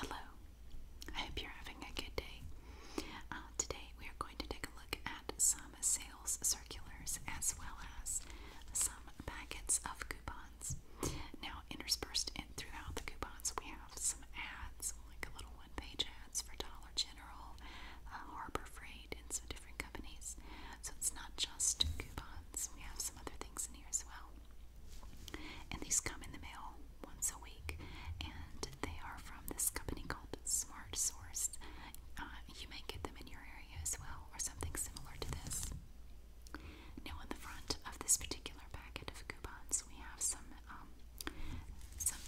Hello, I hope you're having a good day. Uh, today we are going to take a look at some sales circulars as well as some packets of coupons. Now, interspersed throughout the coupons, we have some ads, like a little one page ads for Dollar General, uh, Harbor Freight, and some different companies. So it's not just coupons, we have some other things in here as well. And these come in the mail once a week, and they are from this company called Smart Source. Uh, you may get them in your area as well, or something similar to this. Now, on the front of this particular packet of coupons, we have some um, some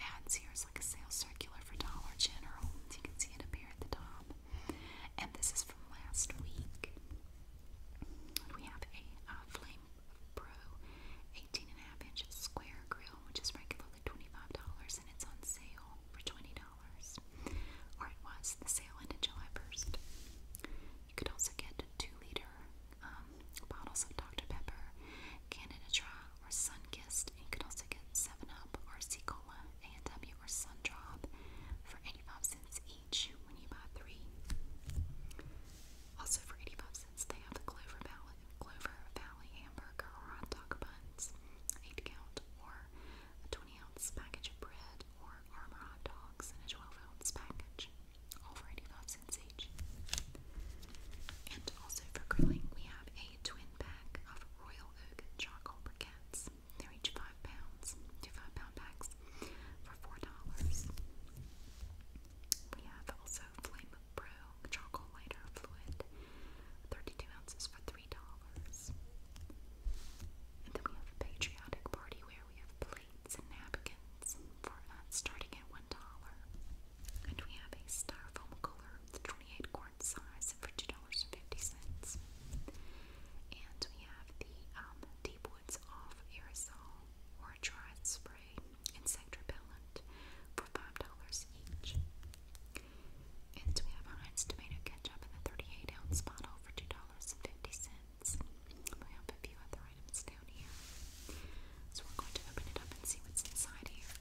ads here. It's like a sales circular for Dollar General. You can see it up here at the top. And this is from last week. We have a uh, Flame Pro 18 and square grill, which is regularly $25 and it's on sale for $20. Or it was, the sale ended July 1st. You could also get 2 liter um, bottles of Dr. Pepper, Canada or Sunkissed. And you could also get 7 Up or C Cola, A&W, or Sundrop for 85 cents also for 85 cents they have the Clover Valley, Clover Valley hamburger hot dog buns, 8 count, or a 20 ounce package of bread, or Armor hot dogs a 12 ounce package, all for 85 cents each. And also for grilling we have a twin pack of Royal Oak charcoal briquettes. They're each five pounds, two five pound packs for four dollars. We have also Flame Charcoal Lighter Fluid, 32 ounces for $3. And then we have a patriotic party where we have plates and napkins for starting at $1. And we have a styrofoam cooler, 28 quart size for $2.50. And actually have the um, Deep Woods Off aerosol or dry spray insect repellent for five dollars each. And we have Heinz tomato ketchup in the 38 ounce bottle for two dollars and fifty cents. We have a few other items down here, so we're going to open it up and see what's inside here.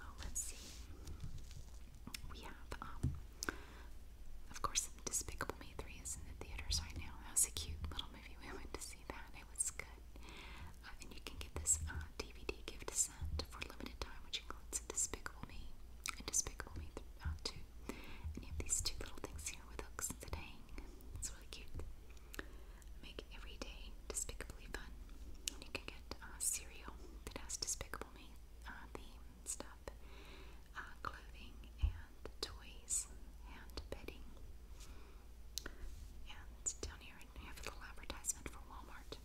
Oh, let's see. We have, um, of course, Despicable Me 3 is in the theaters right now. That was a cute little movie. We went to see that. It was good. Uh, and you can get this uh, DVD gift sent for limited time, which includes Despicable Me and Despicable Me uh, 2. And you have these two little things here with hooks that hang. It's really cute. Make every day despicably fun. And you can get uh, cereal that has despicable me uh, stuff, uh, clothing, and toys, and bedding. And down here, I have a advertisement for Walmart.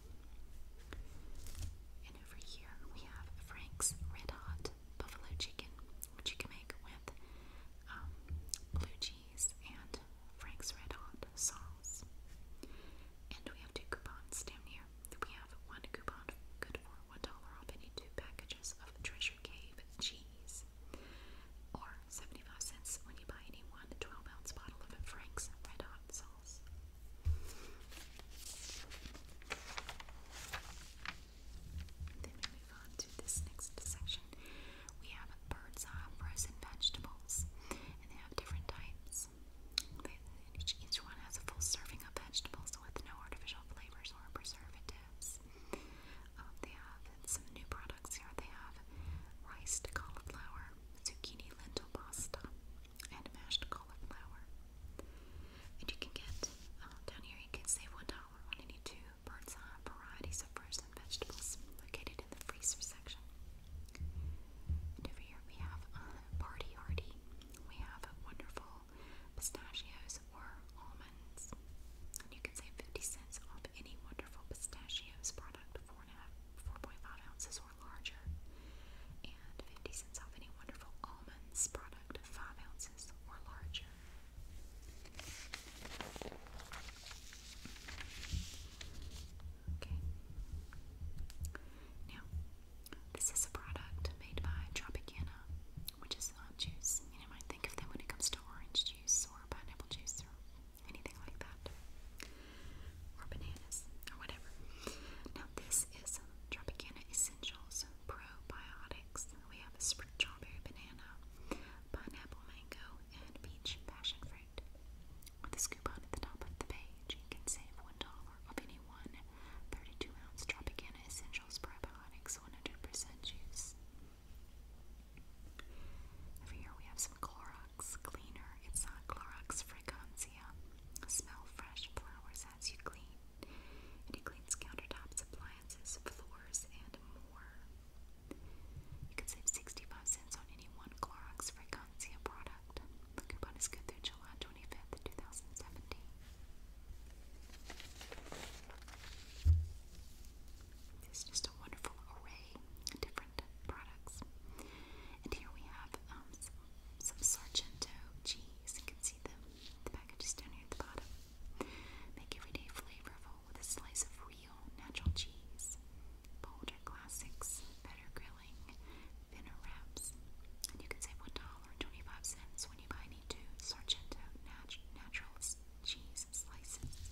And over here, we have Frank's Red Hot Buffalo Chicken, which you can make with um, blue cheese and Frank's Red Hot sauce. And we have two coupons down here. We have one coupon good for one dollar off any two packages of Treasure Cave cheese, or seventy-five cents when you buy any one twelve-ounce bottle of Frank's Red Hot sauce. Then we move on to this next section. We have bird's eye uh, frozen vegetables, and they have different types. Each, each one has a full serving of vegetables with no artificial flavors or preservatives. Um, they have some new products here. They have riced cauliflower, zucchini lentil pasta, and mashed cauliflower. And you can get um, down here. You can save one dollar on any two bird's eye uh, varieties of fruits and vegetables located in the freezer section. over here we have Party Hardy. We have wonderful pistachios or almonds. And you can save 50 cents off any wonderful pistachios product, 4.5 ounces or larger. And 50 cents off any wonderful almonds product, 5 ounces or larger. Okay. Now, this is a product made by Tropicana, which is not juice. You know, I think of them when it comes to orange juice or pineapple juice or anything like that, or bananas or whatever. Now, this is Tropicana Essentials Probiotics. We have a strawberry banana, pineapple mango, and peach passion fruit website. With this coupon at the top of the page, you can save $1 off any one 32 ounce Tropicana Essentials Probiotics 100% juice. Over here we have some Clorox Cleaner. It's not Clorox Fragancia. Smell fresh flowers as you clean. And it cleans countertops, appliances, floors, and more. You can save 65 cents on any one Clorox Fragancia Etsy a product. The coupon is good through July 25th, 2017. It's just a wonderful array of different products. And here we have um, some, Sargento cheese. You can see the, the package down here at the bottom. Make everyday flavorful with a slice of natural cheese, Boulder Classics, better grilling, thinner wraps. And you can save one dollar twenty-five cents when you buy any two Sargento natural cheese slices.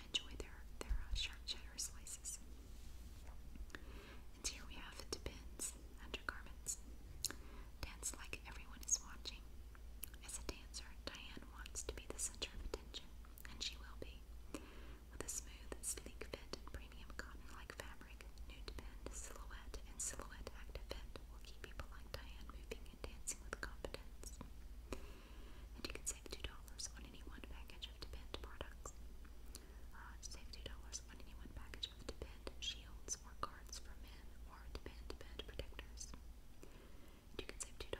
enjoy their their uh, sharp cheddar slices. And here we have it depends undergarments. Dance like everyone is watching. As a dancer, Diane wants to be the center of attention and she will be. With a smooth, sleek fit and premium cotton-like fabric, nude bend, silhouette, and silhouette active fit will keep people like Diane moving and dancing with confidence. And you can save $2 on any one package of Depend products. Uh, save $2 on any one package of Depend shields or guards for men or Depend bed protectors. And you can save $2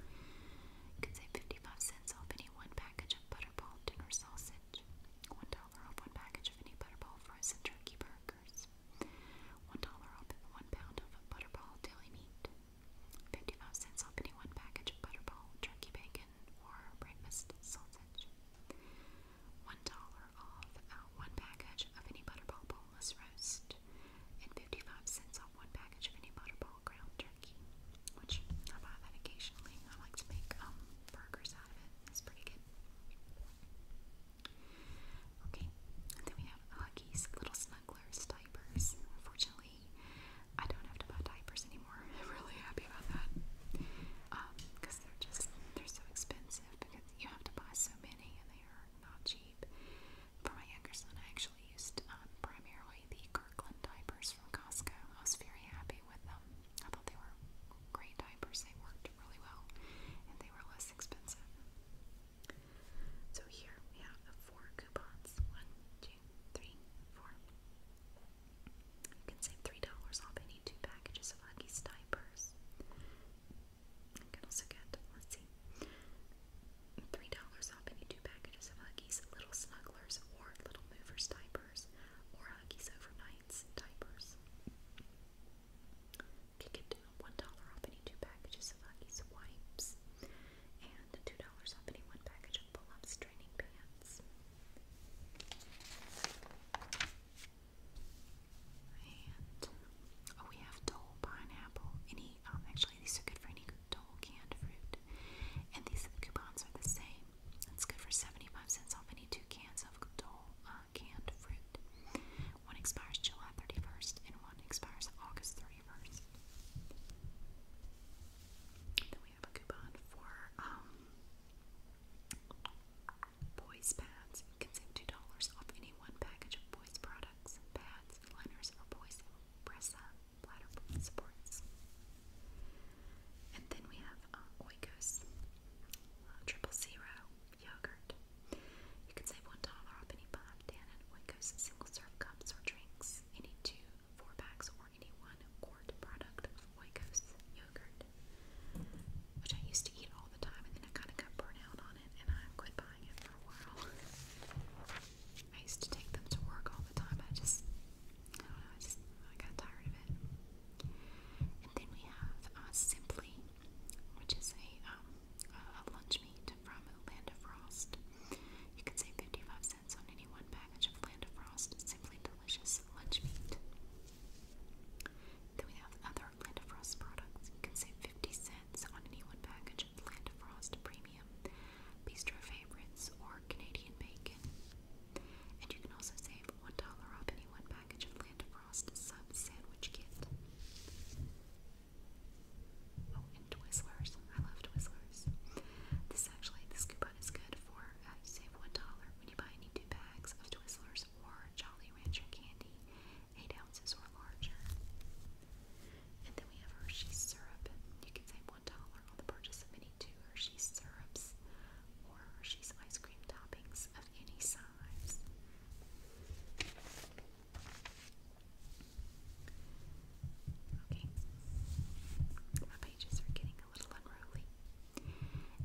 You can save 55 cents off any one package of Butterball dinner sausage, $1 off one package of any Butterball frozen turkey burgers, $1 off one pound of Butterball deli meat, 55 cents off any one package of Butterball turkey bacon or breakfast sausage, $1 off uh, one package of any Butterball boneless roast, and 55 cents off one package of any Butterball all ground turkey, which I buy that occasionally. I like to make um, burgers out of it. It's pretty good. Okay, and then we have Huggies Little Snugglers diapers. Fortunately, I don't have to buy diapers anymore. I'm really happy about that because um, they're just they're so expensive because you have to buy so many and they are not cheap. For my younger son, I actually used um, Primera enjoy the Kirkland diapers from Costco. I was very happy with them. I thought they were great diapers. They worked really well and they were less expensive. So here we have the four coupons. One, two, three, four. You can save $3 off any two packages of Huggies diapers. You can also get, let's see, three dollars off any two packages of Huggies Little Snugglers or Little Movers diapers or Huggies Overnights diapers. You get one dollar off any two packages of Huggies wipes and two dollars off any one package of pull-ups training pants. And oh, we have Dole pineapple. Any um, actually these are good for any Dole whole canned fruit. And these coupons are the same. It's good for 75 cents off any two cans of dull uh, canned fruit. One expires July 31st and one expires August 31st. Then we have a coupon for um, Boys pads. You can save $2 off any one package of Boys products, pads, liners, or Boys press up, supports. And then we have um, Oikos, uh, triple zero yogurt. You can save one dollar off any five Dan and Oikos single serve cups or drinks, any two four packs or any one quart product of Oikos yogurt, which I used to eat all the time, and then I kind of got burnt out on it, and I quit buying it for a while. I used to take them to work all the time. I just, I don't know, I just I got tired of it. And then we have uh, Simply, which is a, um, a lunch meat from Land of Frost. You can save 55 cents on any one package of Land of Frost. Simply delicious lunch meat. Then we have other Land of Frost products. You can save 50 cents on any one package of Land of Frost Premium bistro favorites, or Canadian bacon. And you can also save $1 off any one package of Land Frost Sub Sandwich Kit. Oh, and Twizzlers. I love Twizzlers. This actually, this coupon is good for uh, save $1 when you buy any two bags of Twizzlers or Jolly Rancher candy, 8 ounces or larger. And then we have Hershey's syrup. You can save one on the purchase of any two Hershey's syrups or Hershey's ice cream toppings of any size. Okay, my pages are getting a little unruly.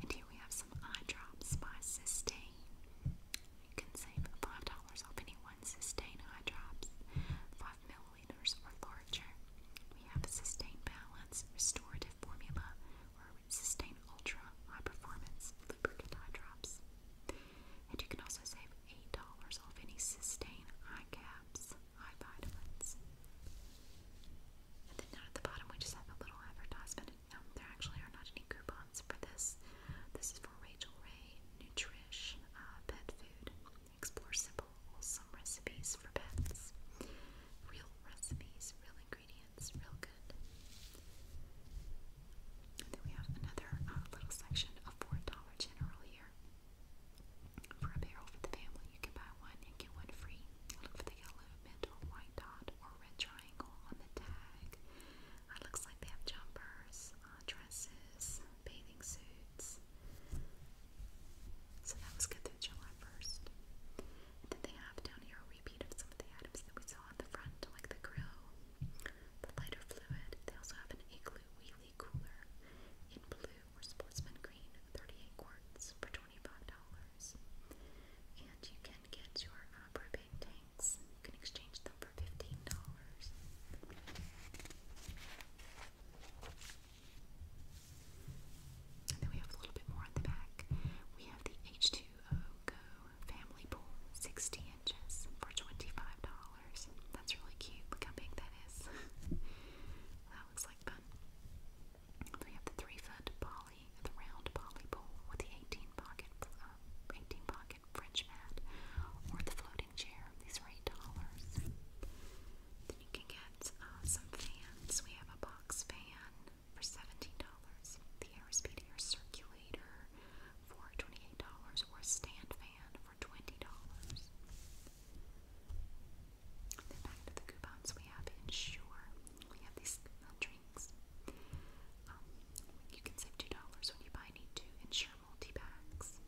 And here we have some eye drops by Sustain. You can save $5 off any one Sustain eye drops. 5 ml or larger. We have a Sustained Balance Restorative Formula or Sustain Ultra High Performance Lubricant Eye Drops. And you can also save $8 off any Sustain Eye Caps, Eye Vitamins. And then down at the bottom we just have a little advertisement. Um, there actually are not any coupons for this. This is for Rachel Ray Nutrish uh, Pet Food. Explore simple, wholesome recipes for pets. Real recipes, real ingredients, real good. And then we have another uh, little section of $4 general here. For a barrel for the family, you can buy one and get one free. Look for the yellow, mint, or white dot, or red triangle on the tag. It uh, looks like they have jumpers, uh, dresses, bathing suits. So that was good through July 1st. And then they have down here a repeat of some of the items that we saw on the front, like the grill, the lighter fluid. They also have an igloo wheelie cooler in blue or sportsman green, 38 quarts for $25. And you can get your uh, propane tanks. You can exchange them for $15. And then we have a little bit more at the back. We have the H2O Go Family Pool, 60 inches for $25. That's really cute. Look how big that is. that looks like fun. we have the three foot poly, the round poly pool with the 18 pocket, uh, 18 pocket French mat, or the floating chair. These are $8. Then you can get uh, some fans. We have a box fan for $17. The Airspeedier Circulator for $28 or a stand fan for $20. Then back to the coupons we have Insure. We have these uh, drinks. Um, you can save $2 when you buy any two Insure multi-bags.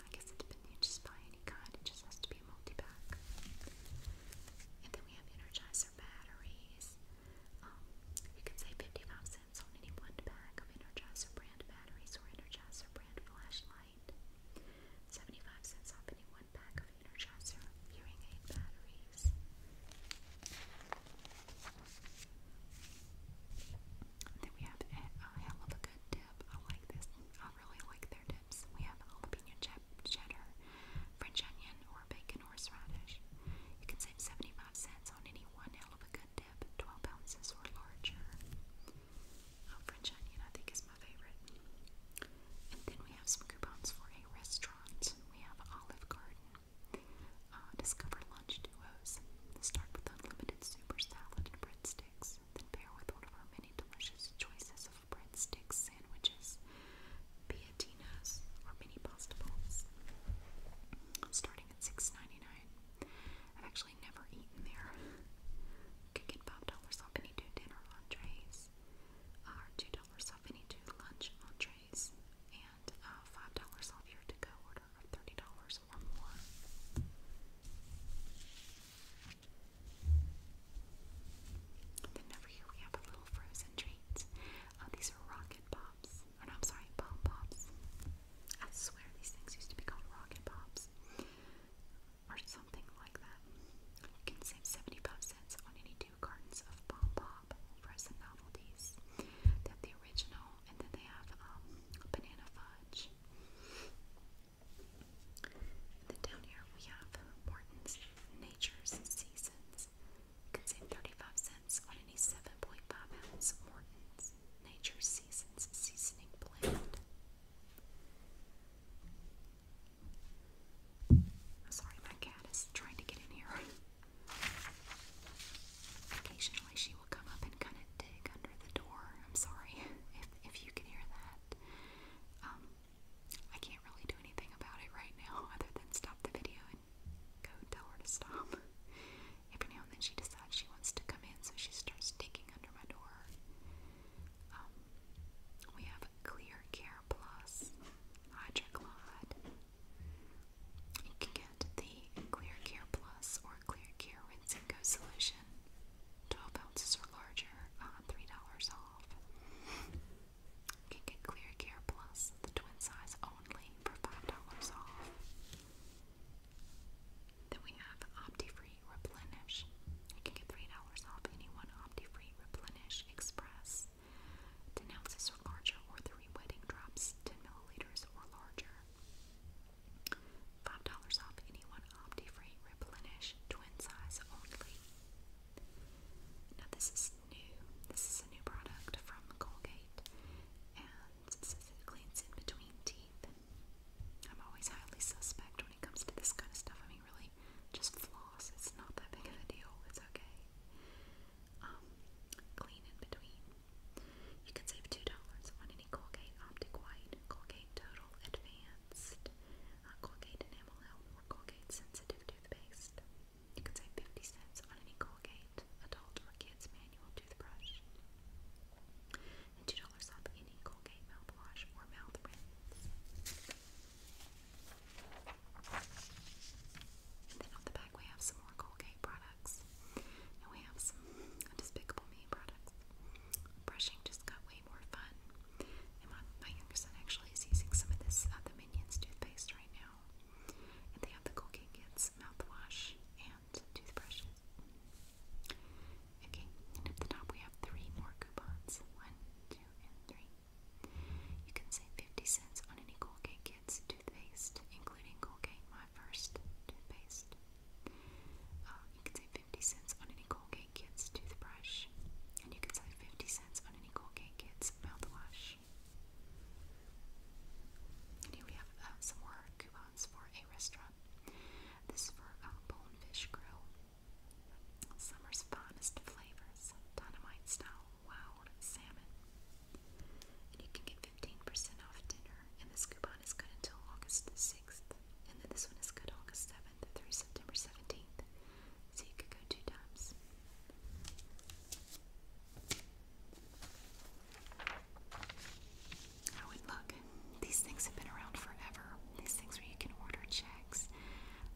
I guess it depends. just buy any kind. It just has to be a multi-pack. And then we have Energizer batteries. Um, you can save 55 cents on any one pack of Energizer brand batteries or Energizer brand flashlight. 75 cents off any one pack of Energizer hearing aid batteries. Then we have a, hell of a good dip. I like this. I really like their dips. We have jalapeno ch cheddar, French onion, or bacon horseradish. You can save 75 cents on any one hell of a good dip, 12 ounces or larger. Oh, French onion, I think, is my favorite. And then we have some coupons for a restaurant. We have Olive Garden, uh, Discover Lunch Duos. Start with unlimited super salad and breadsticks then pair with one of our many delicious choices of breadsticks, sandwiches, piatinas, or mini pasta Starting at 6 I've actually never eaten there. You can get $5 off any two dinner entrees, or uh, $2 off any two lunch entrees, and uh, $5 off your to-go order of $30 or more then over here we have a little frozen treat. Uh, these are rocket pops. Or no, I'm sorry, pom pops. I swear these things used to be called rocket pops. Or something like that. You can save 75 cents on any two cartons of pom pop frozen novelties. They have the original, and then they have um, banana fudge. Then down here we have Morton's Nature's Seasons. You can save 35 cents on any 7.5 ounce Morton's Nature's Seasons seasoning blend. sorry, my cat is trying to get in here. Occasionally she come up and kind of dig under the door. I'm sorry if, if you can hear that. Um, I can't really do anything about it right now other than stop the video and go tell her to stop. Every now and then she decides she wants to come in, so she starts digging under my door. Um, we have Clear Care Plus Hydroclod. You can get the Clear Care Plus or Clear Care Rinse and Go solution. 12 ounces or larger, uh, $3 off. You can get Clear Care Plus, the twin size only, for $5 off. Then we have OptiFree Replenish. You can get $3 off any one OptiFree Replenish Express. 10 ounces or larger, or 3 wedding drops, 10 milliliters or larger. $5 off any one OptiFree Replenish Twin Size only. Now this is new. This is a new product from Colgate and it says it cleans in between teeth. I'm always highly suspect when it comes to this kind of stuff. I mean really just floss. It's not that big of a deal. It's okay. Um, clean in between. You can save $2 on any Colgate Optic White Colgate Total Advanced, uh, Colgate Enamel Help, or Colgate Sensitive Toothpaste. You can save 50 cents on any Colgate adult or kids manual toothbrush. And $2 off any Colgate mouthwash or mouth rinse. And then on the back we have some more Colgate products. And we have some Despicable Me beauty products. Brushing just got way more fun. And my, my younger son actually is using some of this uh, the Minions toothpaste right now. And they have the Colgate Kids mouthwash and toothbrushes. Okay, and at the top we have three more coupons. One, two, and three. You can save 50 cents on any Colgate Kids toothpaste, including Colgate My First toothpaste. Uh, you can save 50 cents on any Colgate Kids toothbrush. And you can save 50 cents on any Colgate Kids mouthwash. here we have uh, some more coupons for a restaurant. This is for um, Bonefish Grill. Summer's finest flavors, dynamite style wild salmon. And you can get 15% off dinner, and this coupon is good until August 6th. And then this one is good August 7th through September 17th. So you could go two times. I oh, look. These things have been around forever. These things where you can order checks.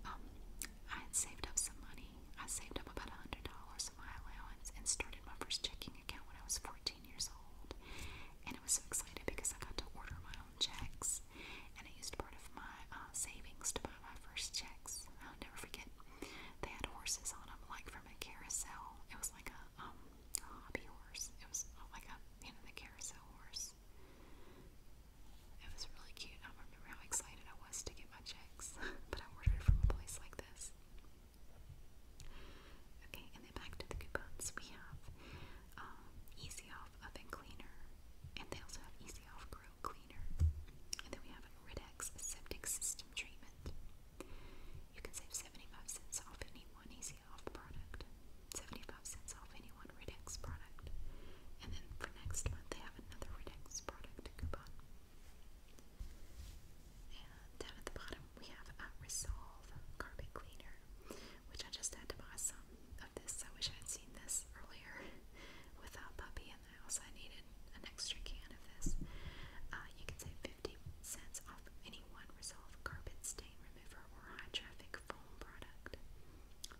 Um, I had saved up some money. I saved up about $100 of my allowance and started my first checking checking account when I was 14 years old, and I was so excited because I got to order my own checks, and I used part of my uh, savings to buy my first checks. I'll never forget. They had horses on them, like from a carousel. It was like a um a hobby horse. It was like a you know the carousel horse. It was really cute. I remember how excited I was to get my checks, but I ordered it from a place like this. Okay, and then back to the coupons, we have um, Easy Off Oven Cleaner, and they also have Easy Off Grill Cleaner. And then we have an Ridex Septic System Treatment. You can save 75 cents off any one Easy Off product, 75 cents off any one Ridex product. And then for next month, they have another Ridex product coupon. And down at the bottom, we have a Resolve carpet cleaner, which I just had to buy some of this. I wish I had seen this earlier with puppy in the house. I needed an extra can of this. Uh, you can save 50 cents off any one Resolve carpet stain remover or high traffic foam product.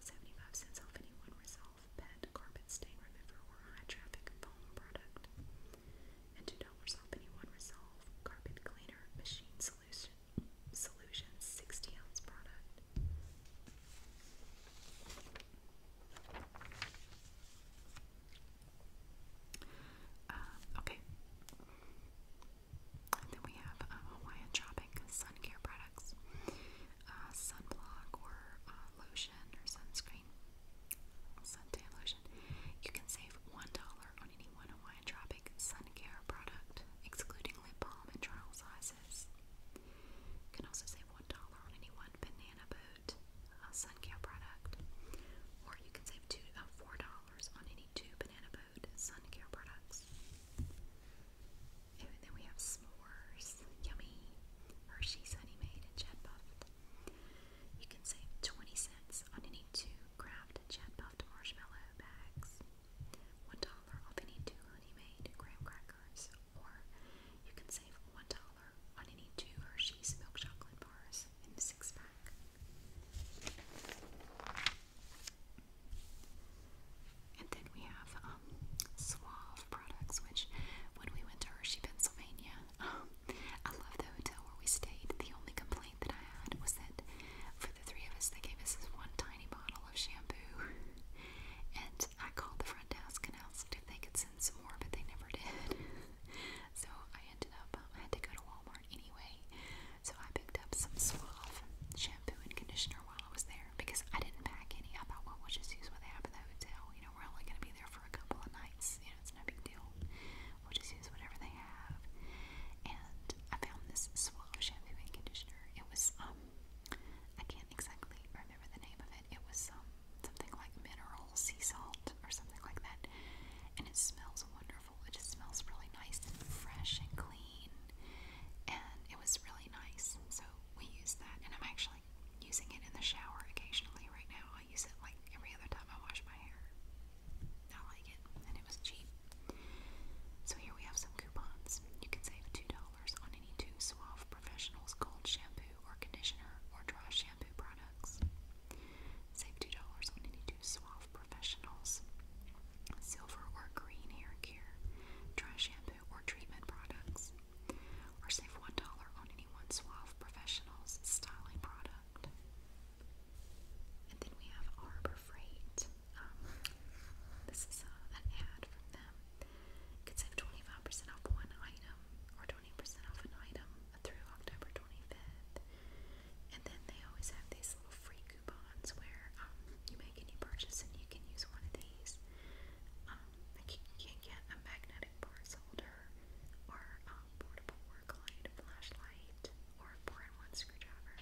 75 cents off any one Resolve pet carpet stain remover or high traffic foam product. And $2 off any one Resolve carpet cleaner machine Solution Solutions 60 ounce product. Um, okay. then we have uh, Hawaiian Tropic Sun Care products, uh, sunblock or uh, lotion or sunscreen, suntan lotion. You can save $1 any one Hawaiian sun care product, excluding lip balm and trial sizes. You can also save $1 on any one Banana Boat uh, sun care product, or you can save two, uh, $4 on any two Banana Boat sun care products. And then we have s'mores, yummy, Hershey's Honey Made and Jet Puffed. You can save 20 cents on any two Kraft Jet marshmallow bags, one dollar off any two honey-made graham crackers, or you can save one dollar on any two Hershey's milk chocolate bars in the six-pack. And then we have um, Suave products, which when we went to Hershey, Pennsylvania, um, I love the hotel where we stayed. The only complaint complaint that I had was that for the three of us, they gave us this one tiny bottle of shampoo. And I called the front desk and asked if they could send some more, but they never did. so I ended up, um, I had to go to Walmart anyway. So I picked up some Suave shampoo and conditioner while I was there because I didn't pack any. I thought, well, we'll just use what they have at the hotel. You know, we're only going to be there for a couple of nights. You know, it's no big deal. We'll just use whatever they have. And I found this suave shampoo and conditioner. It was um I can't exactly remember the name of it. It was um something like mineral sea salt or something like that. And it smells wonderful. It just smells really nice and fresh and clean. And it was really nice. So we use that and I'm actually using it in the shower occasionally right now. I use it like every other time I wash my hair. I like it, and it was cheap. So here we have some coupons. You can save $2 on any two Suave Professionals Gold Shampoo or Conditioner or Dry Shampoo products. Save $2 on any two Suave Professionals Silver or Green Hair Care, Dry Shampoo or Treatment products. Or save $1 on any one Suave Professionals Styling product. And then we have Arbor Freight. Um, this is uh, an ad from them. You could save 25% off one item or 20% off an item through October 25th. And then they always have these little free coupons where um, you make any purchase and you can use one of these. Um, like you can get a magnetic parts holder or um, portable flashlight or 4 in 1 screwdriver.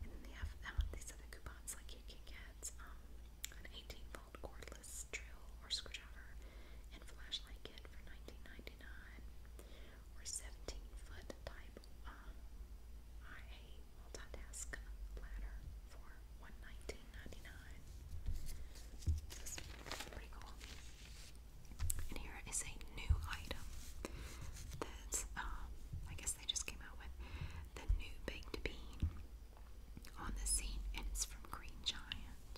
And they have um, these other coupons, like you can get um, an 18 volt cordless drill or screwdriver and flashlight kit for 19 or 17 foot type um, uh, IA multitask ladder for 119 pretty cool. And here is a new item that um, I guess they just came out with the new baked bean on the scene, and it's from Green Giant.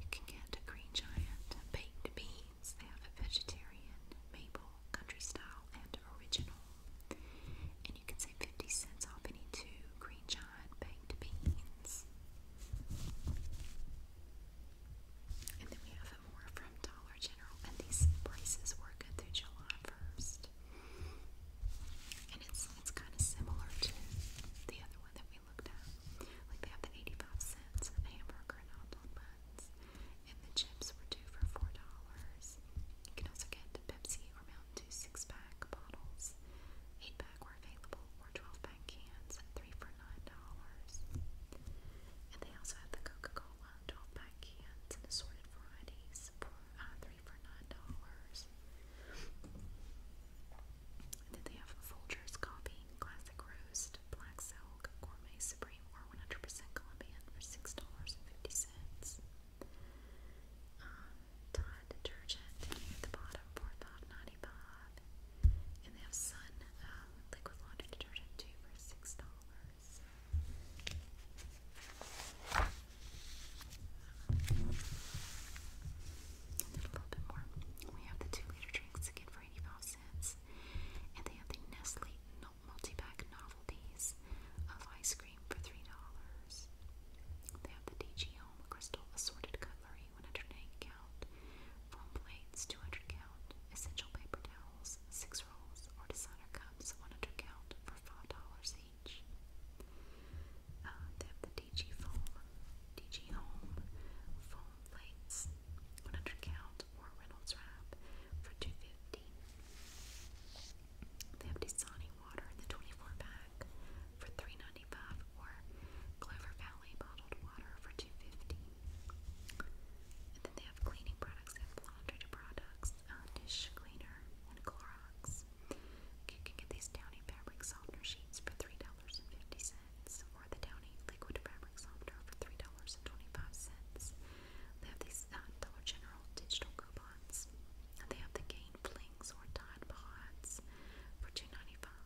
You can get Green Giant baked beans. They have a vegetarian, maple, country style, and original. And you can save 50 cents off any two Green Giant baked beans. And then we have more from Dollar General. And these prices were good through July 1st. And it's it's kind of similar to the other one that we looked at. Like they have the 85 cents hamburger and hot dog buns. And the chips were two for $4. You can also get the Pepsi or Mountain Dew six pack bottles. 8 pack were available, or 12 pack cans, 3 for $9. And they also have the Coca-Cola 12-pack cans and assorted varieties for uh, three for nine dollars. And then they have Folgers coffee, classic roast, black silk, gourmet supreme, or 100% Colombian for six dollars and fifty cents. Um, Tide detergent at the bottom for 5 that. And they have Sun um, liquid laundry detergent too for six dollars. a little bit more. We have the two liter drinks again for eighty five cents, and they have the Nestle multi pack novelties of ice cream for three dollars. They have the DG Home Crystal Assorted Cutlery, 180 calories count, foam plates, 200 count, essential paper towels, 6 rolls, or designer cups, 100 count for $5 each. Uh, they have the DG Foam, DG Home, foam plates, 100 count, or Reynolds Wrap for $2.50. They have Dasani water in the 24 pack for $3.95 or Clover Valley bottled water for $2.50. And then they have cleaning products. They have laundry products, uh, dish cleaner, and Clorox. You can get these Downy fabric softener sheets for three dollars and fifty cents, or the Downy liquid fabric softener for three dollars and twenty-five cents. They have these uh, Dollar General digital coupons. they have the Gain Flings or Tide Pods for two ninety-five.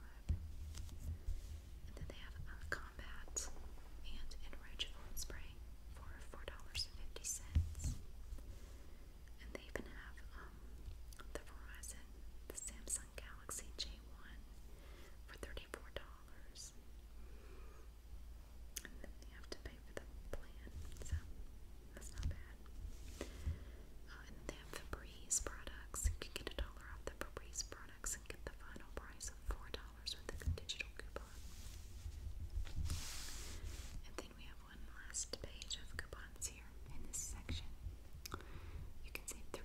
And then they have a uh, combat and enriched spray for $4.50. And they even have um, the Verizon, the Samsung Galaxy J1 for $34. And then you have to pay for the plan, so that's not bad. Uh, and they have Febreze products. You can get a dollar off the Febreze products products and get the final price of $4 with a digital coupon. And then we have one last page of coupons here in this section. You can save $3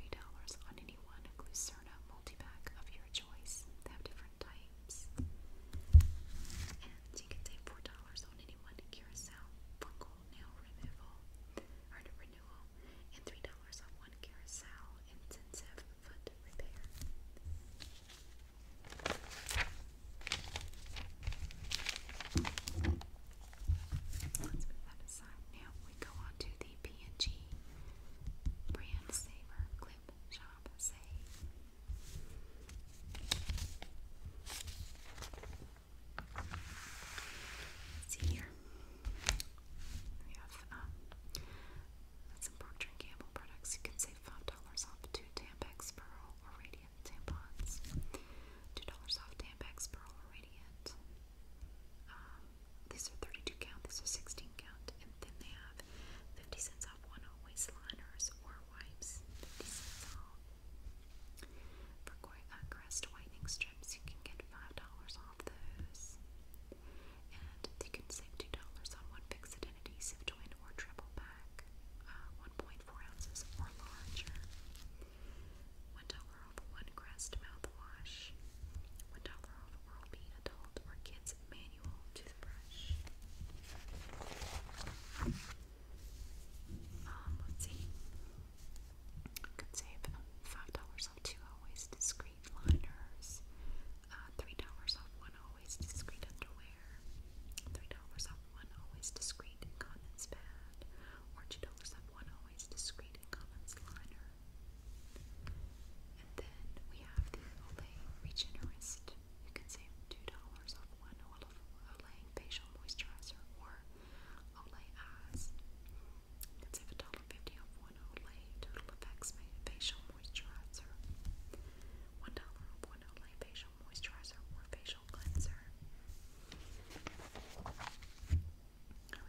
on any one Glucerna multi-pack of your choice. They have different types. And you can save $4 on any one Curacao fungal nail removal or and $3 on one carousel intensive foot repair. Let's put that aside. Now we go on to the p Brand Saver Clip Shop Save. See here, we have some Procter & Gamble products. You can save $5 off two Tampax Pearl or Radiant tampons. $2 off Tampons Pearl or Radiant. Um, these are 32 count, these are 16 count, and then they have 50 cents off one always liners or wipes. 50 cents off. For uh, Crest whitening strips, you can get $5 off. And you can save $2 on one fixed an adhesive twin or triple pack, uh, 1.4 ounces or larger. $1 off one Crest mouthwash. $1 off Oral B Adult or Kids Manual Toothbrush. Um, let's see. You save $5 dollars off two always discreet liners, uh, three dollars off one always discreet underwear, three dollars off one always discreet incontinence pad, or two dollars off one always discreet incontinence liner. And then we have the Olay Regenerist. You can save two dollars off one Olay facial moisturizer or Olay eyes. It's $7.50 off one Olay Total Effects Facial Moisturizer. $1 off one Olay Facial Moisturizer or Facial Cleanser. Oh,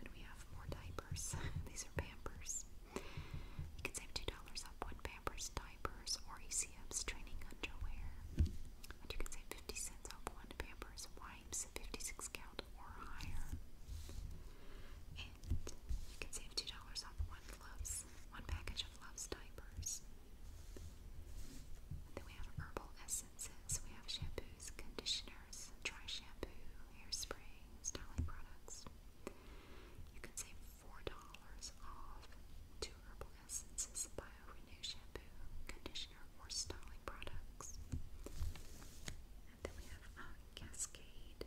and we have more diapers. These are Pampers. You can save $2 off one Pampers diapers or ECF's training underwear. And you can save 50 cents off one Pampers 56 count or higher. And you can save $2 off one Love's, one package of Love's diapers. then we have herbal essences, we have shampoos, conditioners, dry shampoo, hairspray, styling products. You can save $4 off two herbal essences, bio-renew shampoo, conditioner, or styling products. And then we have uh, Cascade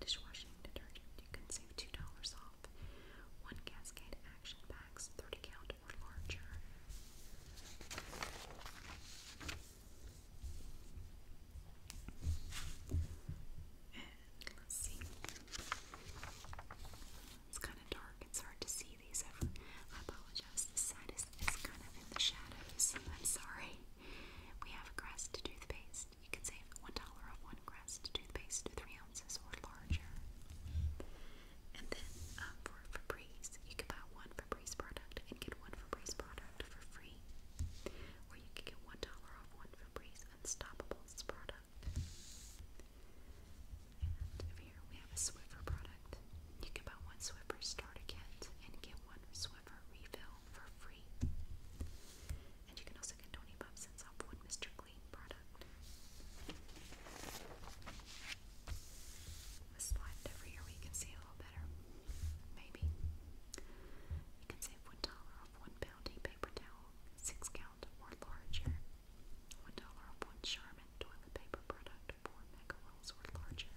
dishwashing detergent. You can save $2 off. One Cascade Action Packs, 30 count or larger. And let's see. It's kind of dark. It's hard to see these. I apologize. The side this kind of in the shadows. I'm sorry. We have crest toothpaste. You can save $1 on one crest toothpaste, 3 ounces or larger. And then um, for Febreze, you can buy one Febreze product and get one Febreze product for free. Or you can get $1 off one Febreze Unstoppables product. And here we have a Swiffer product product. You can buy one Swiffer starter kit and get one Swiffer refill for free. And you can also get 25 cents off one Mr. Clean product. slide it over here where you can see a little better. Maybe. You can save $1 off one Bounty paper towel, 6 count or larger. $1 off one Charmin toilet paper product, 4 mega rolls or larger.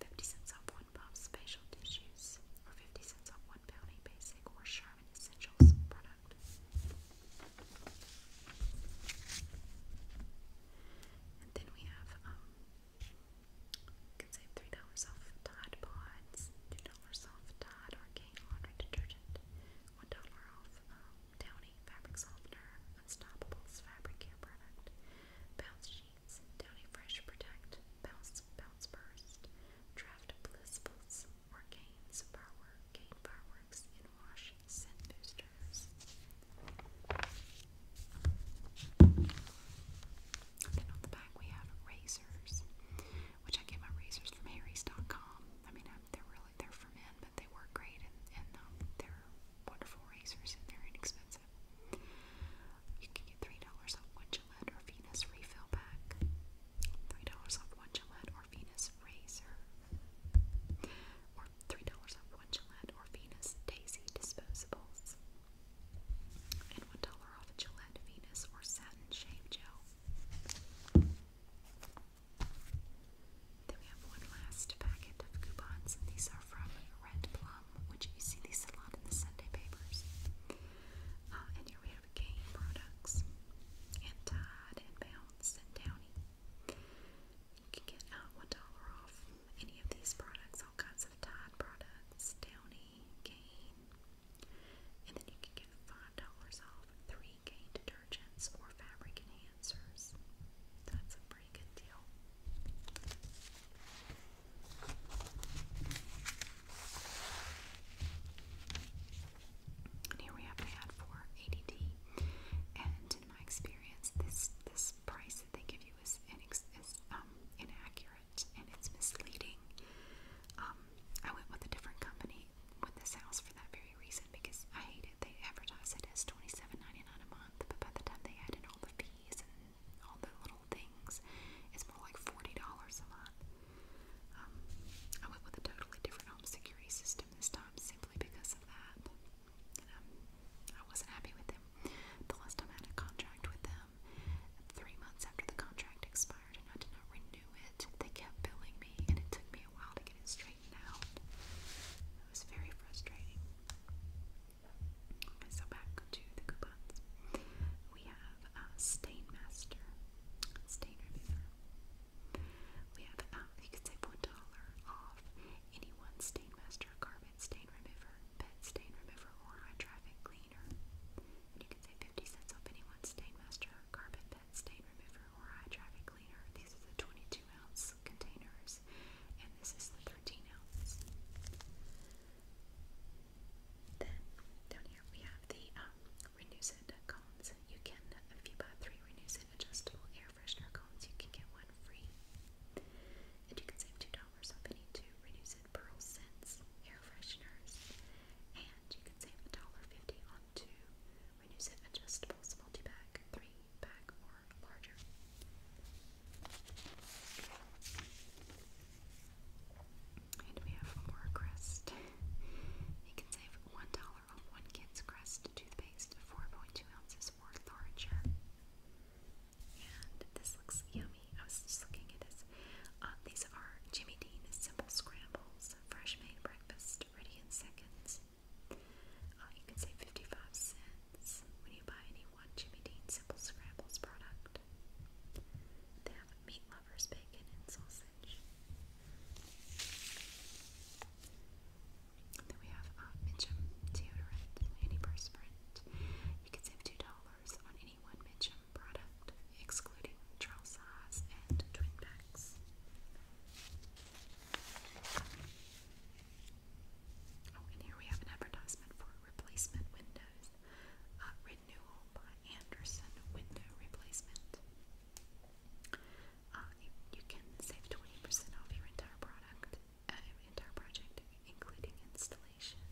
50 cents off one puff's facial tissues, or 50 cents off one Bounty Basic or Charmin Essentials product. then we have, um, can save $3 off Tide Pods, $2 off Tide Arcane Laundry Detergent, $1 off Downy um, Fabric Softener, Unstoppables Fabric Care Product, Bounce sheets, downy fresh protect, bounce, bounce burst, draft blissfuls, organes, firework, gain fireworks, and wash scent boosters. Then on the back we have razors, which I get my razors from Harry's.com. I mean, they're really they're for men, but they work great, and, and um, they're wonderful razors and they're inexpensive. You can get $3 off one Gillette or Venus refill pack. $3 off one Gillette or Venus razor. Or $3 off one Gillette or Venus Daisy disposables. And $1 off Gillette Venus or Satin Shave Gel. Then we have one last packet of coupons, and these are from Red Plum, which you see these a lot in the Sunday papers. Uh, and here we have Game Products, and Tide, and Bounce, and Downy. You can get out $1 off any of these products, all kinds of Tide products, Downy, Gain. And then you can get $5 off three Gain detergents or fabric enhancers. That's a pretty good deal. And here we have an ad for ADD, and in my experience, this this price that they give you is, inex is um, inaccurate and it's misleading. Um, I went with a different company with this house for that very reason because I hate they advertise it as twenty seven ninety nine a month, but by the time they add in all the fees and all the little things, it's more like forty dollars a month. Um, I went with a totally different home security system this time simply because of that, and um, I wasn't happy with them. The last time I had a contract with them, three months after the contract expired and I did not renew it, they kept billing me, and it took me a while to get it straightened out. It was very frustrating. So back to the coupons. We have uh, Stain Remover. We have, um, you can save $1 off any one Stain Carpet Stain Remover, Pet Stain Remover, or High Traffic Cleaner. you can save 50 cents off any one Stain Carpet, Pet Stain Remover, or High Traffic Cleaner. These are the 22 ounce containers and this is the 13 ounces. Then down here we have the um, Renewset You can, if you buy three Renewset adjustable air freshener cones, you can get one free, and you can save two dollars off any two Renewset Pearl Scents air fresheners, and you can save a dollar fifty on two Renewset adjustables multi-pack three and we have more crest. you can save $1 on one kid's crest toothpaste, 4.2 ounces or larger. And this looks yummy. I was just looking at this. Uh, these are Jimmy Dean Simple Scrambles, fresh made breakfast, ready in seconds. Uh, you can save 55 cents when you buy any one Jimmy Dean Simple Scrambles product. They have meat lovers, bacon, and sausage. Then we have uh, Mitchum deodorant, antiperspirant. You can save $2 on any one Mitchum product, excluding trial size and twin packs. Oh, and here we have an advertisement for replacement windows. Uh, renewal by Anderson Window Replacement. Uh, you, can save 20% off your entire product, uh, entire project, including installation.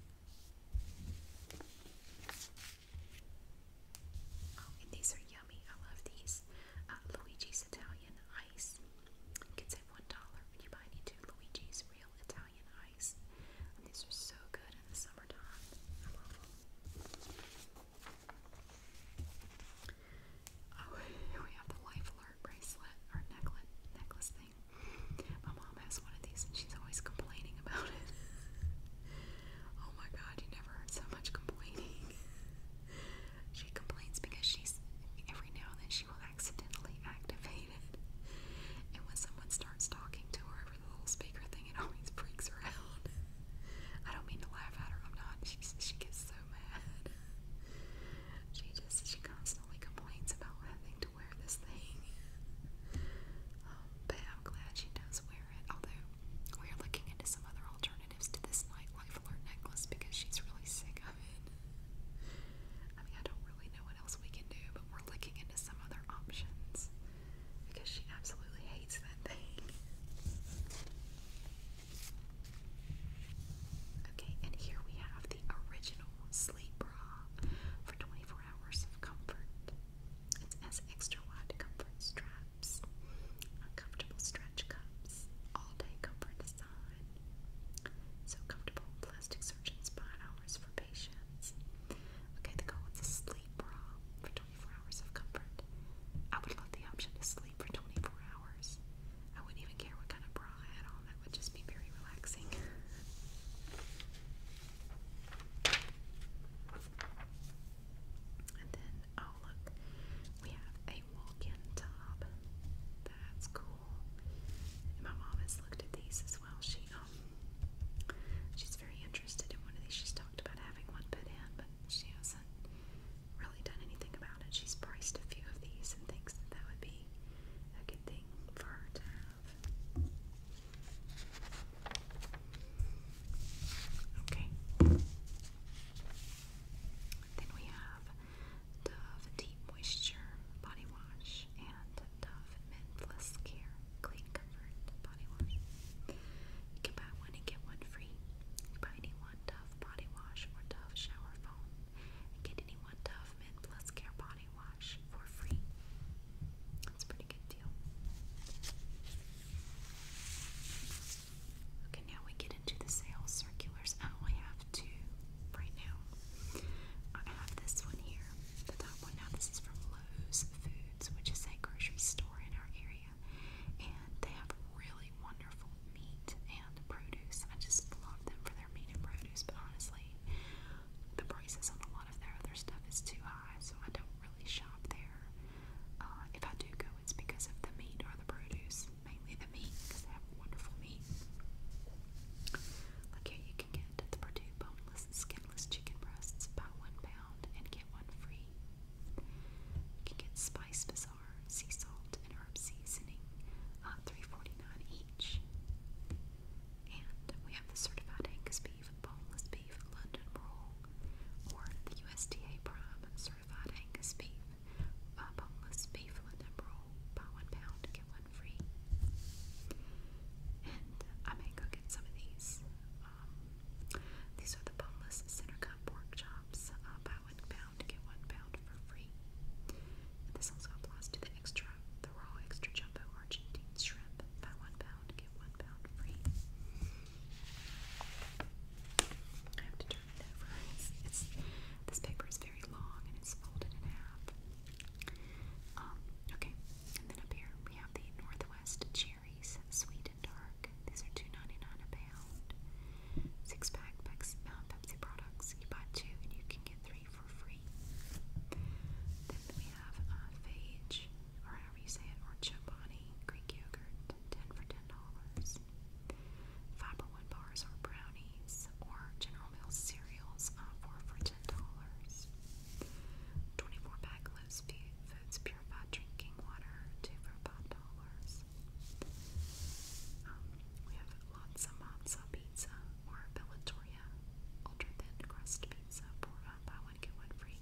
Oh, and these are yummy. I love these. Luigi's Italian Ice you can save one dollar when you buy any two Luigi's Real Italian Ice. these are so good in the summertime. Oh, we have the Life Alert bracelet or necklace, necklace thing. My mom has one of these and she's always complaining about it. oh my god, you never heard so much complaining. she complains because she's every now and then accidentally activated. And when someone starts talking to her over the little speaker thing, it always freaks her out. I don't mean to laugh at her, I'm not. She, gets so mad. She just, she constantly complains about having to wear this thing. Um, but I'm glad she does wear it, although we're looking into some other alternatives to this nightlife alert necklace because she's really sick I mean, I don't really know what else we can do, but we're looking into some other options because she absolutely hates that thing. Okay, and here we have the original sleep bra for 24 hours of comfort. It has extra wide comfort straps, uncomfortable stretch cups, all day comfort design. So comfortable. Plastic surgeons spine hours for patients. Okay, the goal is a sleep bra for 24 hours of comfort. I would love the option to sleep for 24 hours. I wouldn't even care what kind of bra I had That would just be very relaxing. And then, oh look, we have a walk-in tub. That's cool. And my mom has looked at these as well. She um she's very interested in one of these. She's talked about having one put in, but she hasn't really done anything about it. She's priced a few of these and thinks that that would be a good thing for her to have. Okay. Then we have Dove Deep Moisture Body Wash and Dove Men Plus Care Clean Comfort Body Wash. You can buy one and get one free. buy any one Dove Body Wash or Dove Shower Foam and get any one Dove Men Plus Care Body Wash for free. That's pretty good deal. Okay, now we get into the sales circulars. I only have two right now. I have this one here, the top one. Now, this is from Lowe's Foods, which is a grocery store in our area, and they have really wonderful meat and produce. I just love them for their meat and produce, but honestly, the prices on a lot of their other stuff is too high, so I don't really shop there. Uh, if I do go, it's because of the meat or the produce mainly the meat because they have wonderful meat. Look here, you can get the Purdue boneless, skinless chicken breasts about one pound and get one free. You can get Spice Bazaar, sea salt, and herb seasoning, uh, three forty nine each. And we have the certified Angus beef, boneless beef, London roll, or the USDA prime certified certified Angus beef, uh, boneless beef London roll, buy one pound, get one free. And I may go get some of these. Um, these are the boneless center cut pork chops, uh, buy one pound, get one pound for free. this also applies to the extra, the raw extra jumbo Argentine shrimp, buy one pound, get one pound free. I have to turn it over. It's, this paper is very long and it's folded in half. Um, okay, and then up here we have the Northwest Cherries, sweet and dark. These are 2 a pound. Six pack uh, Pepsi, products. You buy two and you can get three for free. Then we have uh, or however you say it, or Chobani Greek yogurt, 10 for $10. Fiber one bars or brownies or General Mills cereals uh, for for ten dollars. Twenty-four pack loose foods purified drinking water two for five dollars. Um, we have lots of matzo pizza or Bellatoria ultra thin crust pizza for uh, buy one get one free.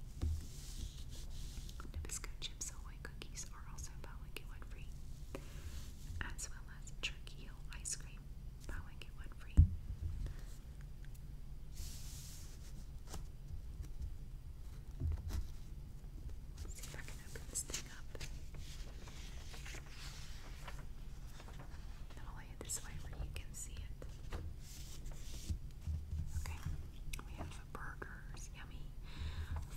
Nabisco chips cookies are also Bow and Get Free, as well as Turkey Hill ice cream, Bow and Get Free. see if I can open this thing up. I'll lay it this way where you can see it. Okay, we have burgers, yummy.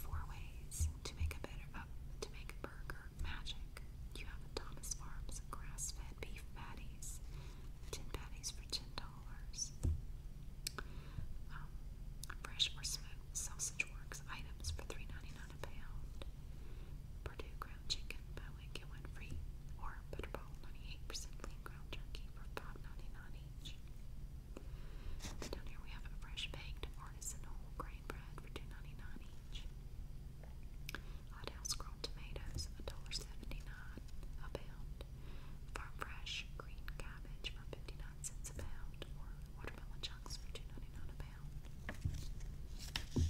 Four ways to make a better up to make a burger magic. You have a Thomas Farms grass-fed beef patties, ten patties for ten dollars. Um, fresh or smoked sausage works items for $3.99 a pound. Purdue ground chicken by one get one free, or Butterball 98% lean ground turkey for $5.99 each. Then down here we have a fresh baked artisan whole grain bread for 2 each. Hot grown tomatoes, $1.79 a pound. Farm fresh green cabbage for 59 cents a pound, or watermelon chunks for 2 a pound. Look down here.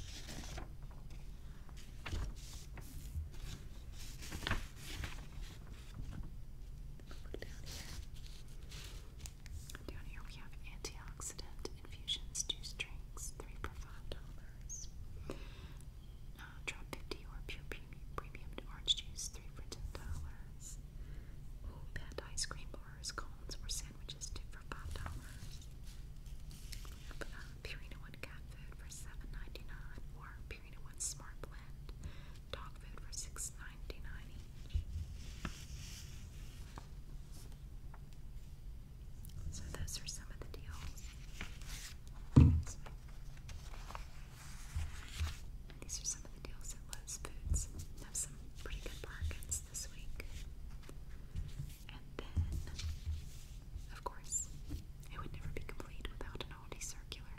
Down here we have antioxidant infusions, juice drinks, three for five dollars. Uh, drop fifty or pure premium, premium orange juice, three for ten dollars. Oh, ice cream bars, cones, or sandwiches, two for five dollars. Uh, Purina One cat food for seven ninety nine, or Purina One Smart Blend dog food for six ninety nine so those are some of the deals. These are some of the deals at Lowe's Foods. Have some pretty good bargains this week. And then, of course, it would never be complete without an oldie circular.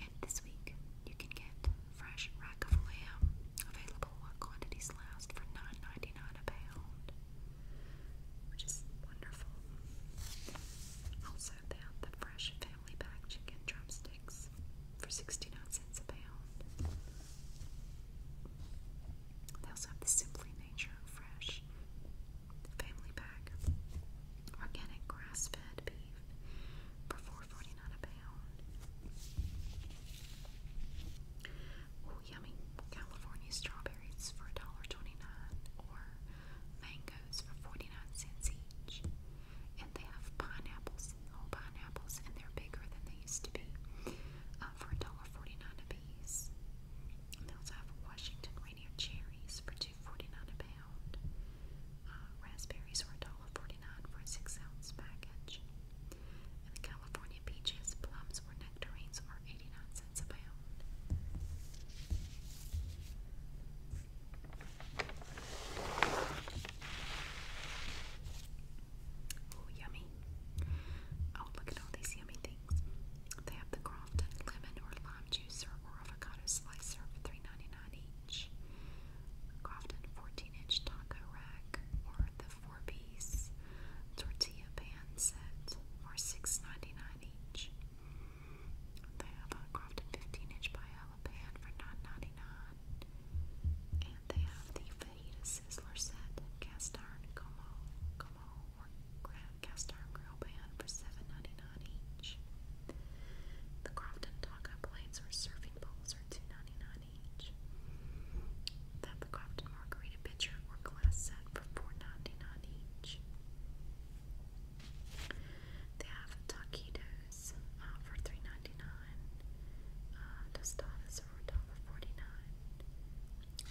And this week, you can get fresh rack of lamb, available what quantities last for 9 a pound, which is wonderful. Also, they have the fresh family pack chicken drumsticks for 69 cents a pound. They also have the Simply Nature Fresh Family Pack, organic grass fed beef for 4 a pound. Oh, yummy California strawberries for $1.29 or mangoes for 49 cents each. And they have pineapples, whole pineapples, and they're bigger than they used to be uh, for $1.49 a piece. they also have Washington Rainier cherries for 2 a pound pound. Uh, raspberries were $1.49 for a 6 ounce package. And the California peaches, plums, or nectarines are 89 cents a pound. Oh, yummy. Oh, look at all these yummy things. They have the Crofton lemon or lime juicer or avocado slicer for 3 range. Crofton 14 inch taco rack or the four piece tortilla pan set for $6.99 each. They have a Crofton 15 inch paella pan for $9.99. And they have the fajita sizzler set cast iron como, como or cast iron grill pan for $7.99. The Crofton Taco plates or serving bowls are $2.99 each. The Crofton Margarita pitcher or glass set for 4 each. They have taquitos uh, for $3.99, uh, for $1.49.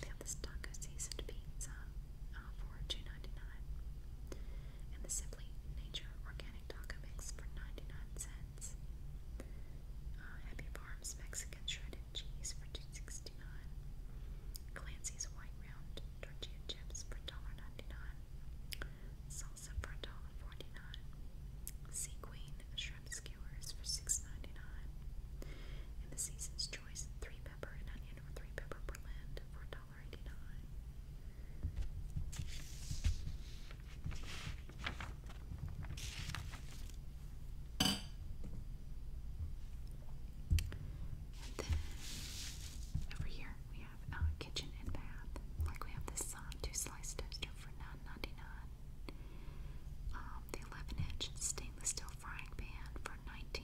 They have this taco seasoned pizza uh, for 2 And the Simply Nature Organic organic taco mix for 99 cents. Uh, Happy Farms Mexican shredded cheese for $2.69. Clancy's White Round tortilla chips for $1.99. Salsa for $1.49. Sea Queen shrimp skewers for $6.99. And the Season's Choice three pepper and onion or three pepper berland for $1.99 already done. And then over here we have kitchen and bath. Like we have this two slice toaster for 9 Um, the 11 inch stainless steel frying pan for 19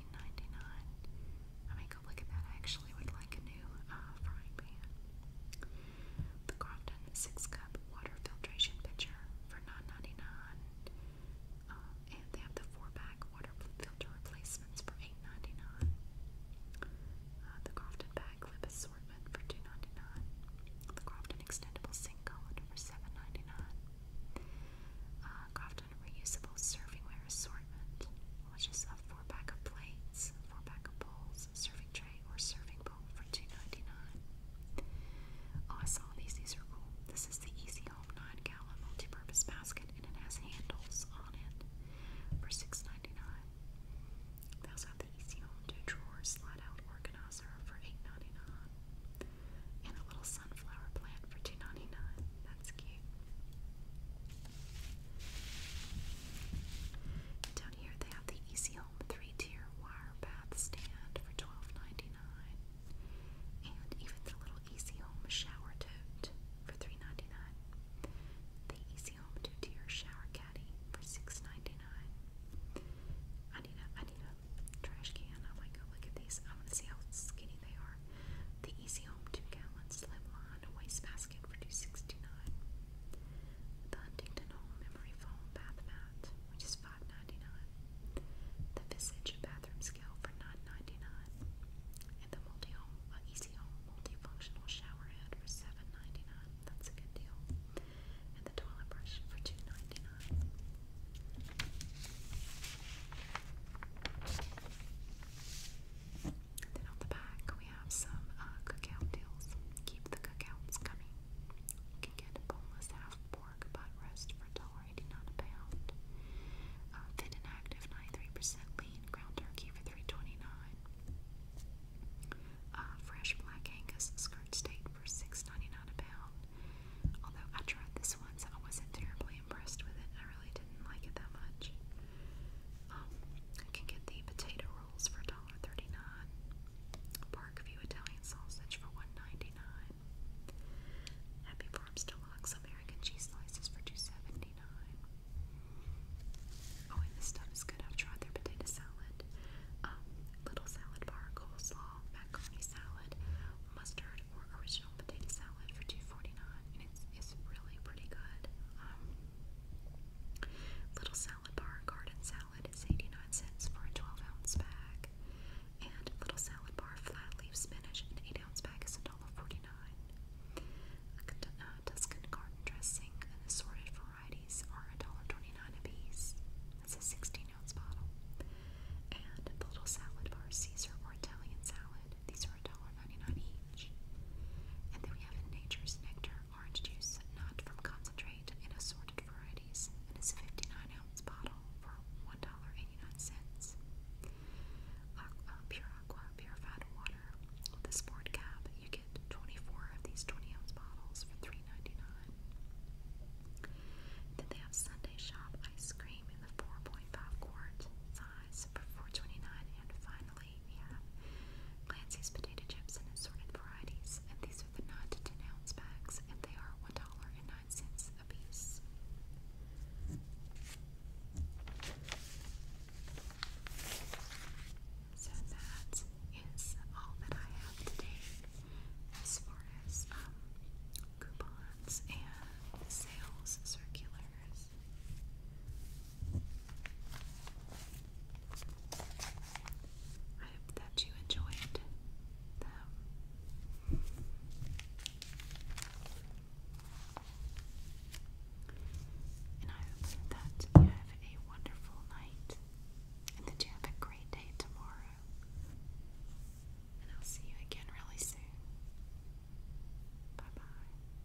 take a oh, look at that. I actually would like a new uh, frying pan. The Crofton 6 cup water filtration pitcher for 9 um, and they have the 4 pack water filter replacements for 8 uh, the Crofton bag clip assortment for 2 The Crofton extendable sink colander for 7 Crofton uh, reusable serving assortment assortment, which a four pack of plates, four pack of bowls, serving tray, or serving bowl for 2 I saw these. These are This is the Easy Home 9 gallon multi basket, and it has handles on it for 6 They also have the Easy Home 2 drawer slide out organizer for 8 And a little sunflower plant for 2 That's cute. Down here they have the Easy Home three-tier wire bath stand for $12.99. And even the little Easy Home shower tote for $3.99. The Easy Home two-tier shower caddy for 6 I need a I need a trash can. I'm like, oh look at these. I want to see how skinny they are. The Easy Home two-gallon slimline on a wastebasket for 2 69 The Huntington Home Memory Foam Bath Mat, which is 5 The Visage Bathroom Scale for $9.99. And the Multi Home, Easy Home Multifunctional Shower Head for 7 dollars That's a good deal. And the Toilet Brush for 2 then on the back we have some uh, cookout deals. Keep the cookouts coming. You can get boneless half pork butt roast for $1.89 a pound. fit uh, and active 93% lean ground turkey for 3 uh, fresh black Angus skirt steak for 6 a pound. Although I tried this once, I wasn't terribly impressed with it. I really didn't like it that much. Um, can get the potato rolls for $1.39. Parkview Italian sausage for $1.99. Happy Farms Deluxe American cheese slices for 2 Oh, and this stuff is good. I've tried their potato salad, um, little salad bar, coleslaw, macaroni salad, mustard, or original potato salad for 2 And it's, it's really pretty good. Um, Little salad bar garden salad is 89 cents for a 12 ounce bag. And little salad bar flat leaf spinach an 8 ounce bag is a dollar forty-nine. $1.49. Uh, Tuscan garden dressing and assorted varieties are $1.29 a piece. That's a 16 ounce bottle. And the little salad bar Caesar or Italian salad, these are a dollar. 4.99 each. And then we have Nature's Nectar orange juice, not from concentrate, in assorted varieties, and it's a 59-ounce bottle for $1.89. pure Aqua purified water. With the Sport Cap, you get 24 of these 20-ounce bottles for $3.99. Then they have Sunday Shop ice cream in the 4.5 quart size for 4 and finally Lastly, we have Clancy's potato chips and assorted varieties, and these are the 9 to 10 ounce bags, and they are $1.09 a piece. So that is all that I have today as far as um, coupons and sales circulars. I hope that you enjoyed And I hope that you have a wonderful night and that you have a great day tomorrow. And I'll see you again really soon. Bye bye.